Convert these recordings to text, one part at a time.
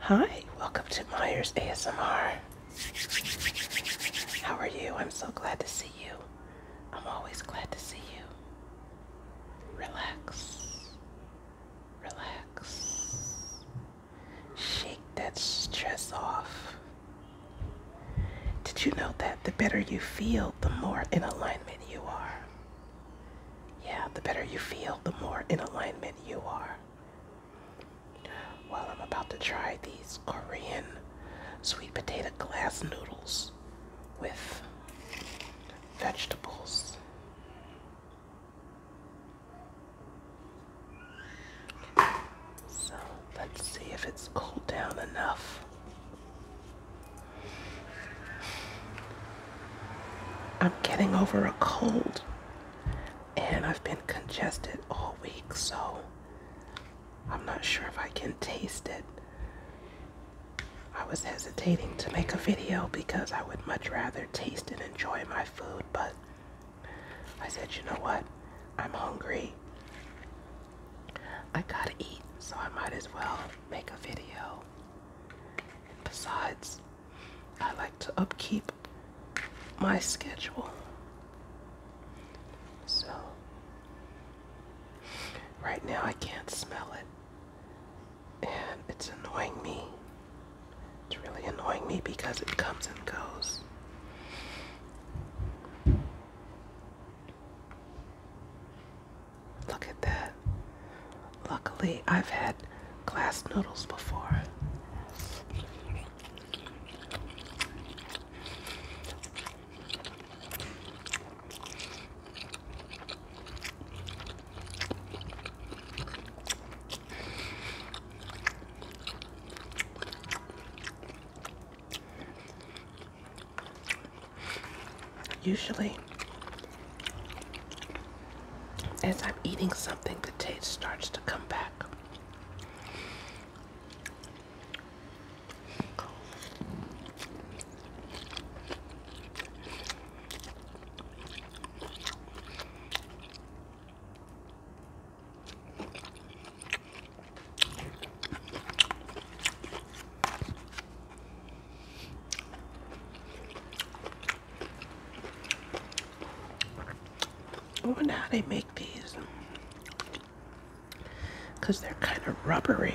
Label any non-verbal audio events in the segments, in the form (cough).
Hi, welcome to Myers ASMR. How are you? I'm so glad to see you. I'm always glad to see you. Relax. Relax. Shake that stress off. Did you know that the better you feel, the more in alignment you are? Yeah, the better you feel, the more in alignment you are. Well, I'm about to try these Korean sweet potato glass noodles with vegetables. So let's see if it's cooled down enough. I'm getting over a cold and I've been congested all week, so I'm not sure if I can taste it. I was hesitating to make a video because I would much rather taste and enjoy my food, but I said, you know what? I'm hungry. I gotta eat, so I might as well make a video. And besides, I like to upkeep my schedule. So, right now I can't smell it, and it's annoying me. It's really annoying me because it comes and goes. Look at that. Luckily, I've had glass noodles before. Usually, as I'm eating something, the taste starts to come back. I oh, wonder how they make these. Because they're kind of rubbery.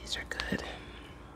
These are good.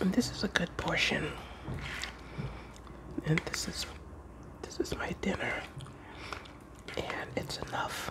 And this is a good portion. And this is this is my dinner and it's enough.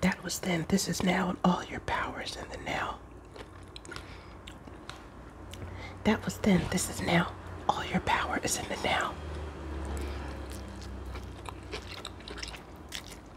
That was then, this is now, all your power is in the now. That was then, this is now, all your power is in the now.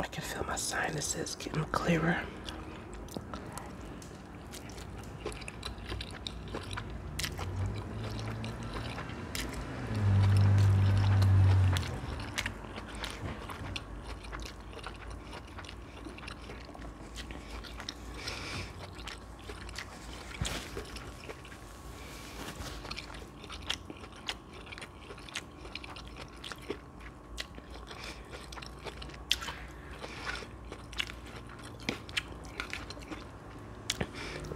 I can feel my sinuses getting clearer.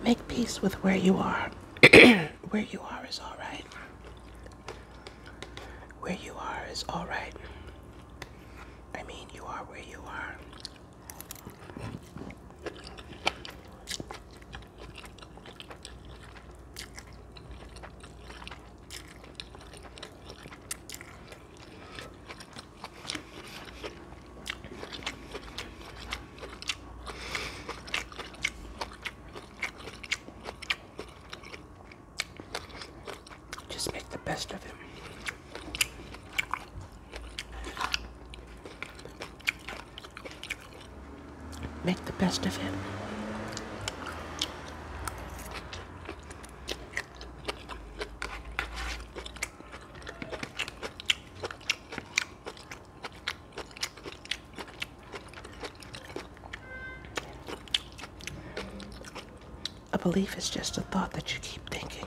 Make peace with where you are. (clears throat) where you are is all right. Where you are is all right. I mean, you are where you are. Just make the best of it. Make the best of it. A belief is just a thought that you keep thinking.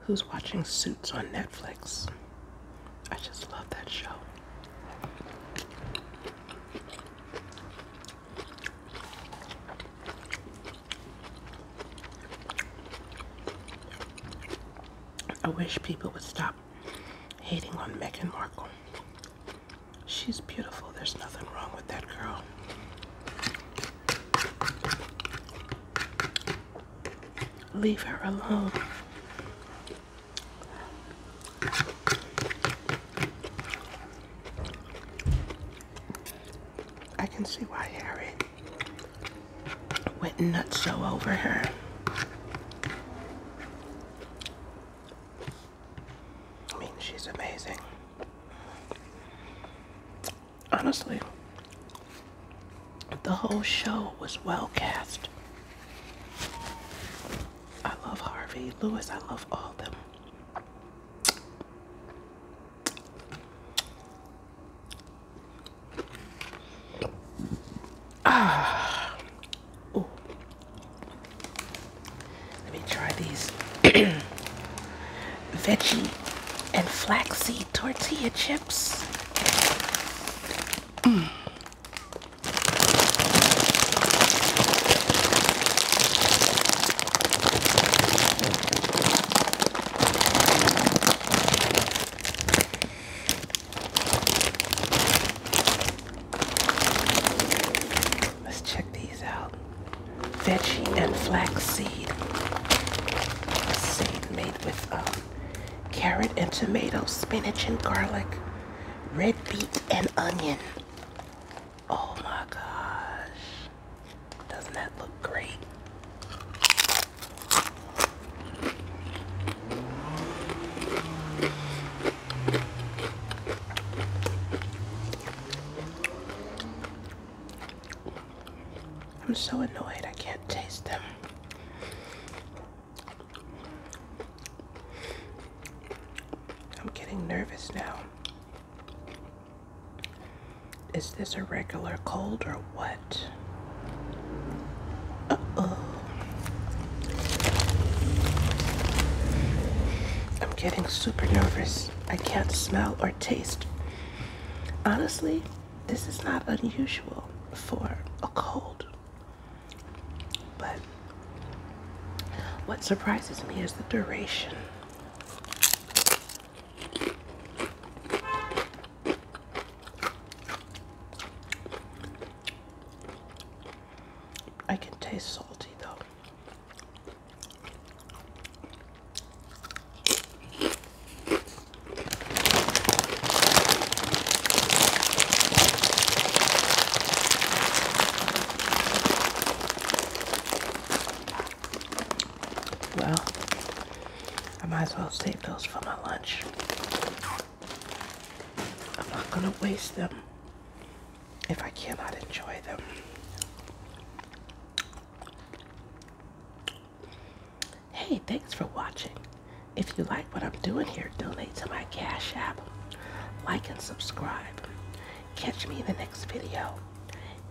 who's watching Suits on Netflix. I just love that show. I wish people would stop hating on Meghan Markle. She's beautiful. There's nothing wrong with that girl. Leave her alone. I can see why Harry went nuts so over her. I mean, she's amazing. Honestly, the whole show was well cast. I love Harvey, Lewis, I love all of them. Ah. Ooh. Let me try these (clears throat) veggie and flaxseed tortilla chips. Let's check these out veggie and flaxseed. Seed made with um, carrot and tomato, spinach and garlic, red beet and onion. Oh my gosh. Doesn't that look great? I'm so annoyed I can't taste them. I'm getting nervous now. Is this a regular cold or what? Uh oh. I'm getting super nervous. I can't smell or taste. Honestly, this is not unusual for a cold. But what surprises me is the duration. I can taste salty though. Well, I might as well save those for my lunch. I'm not gonna waste them if I cannot enjoy them. Hey, thanks for watching. If you like what I'm doing here, donate to my Cash App. Like and subscribe. Catch me in the next video.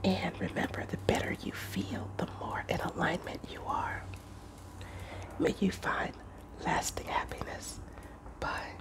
And remember, the better you feel, the more in alignment you are. May you find lasting happiness. Bye.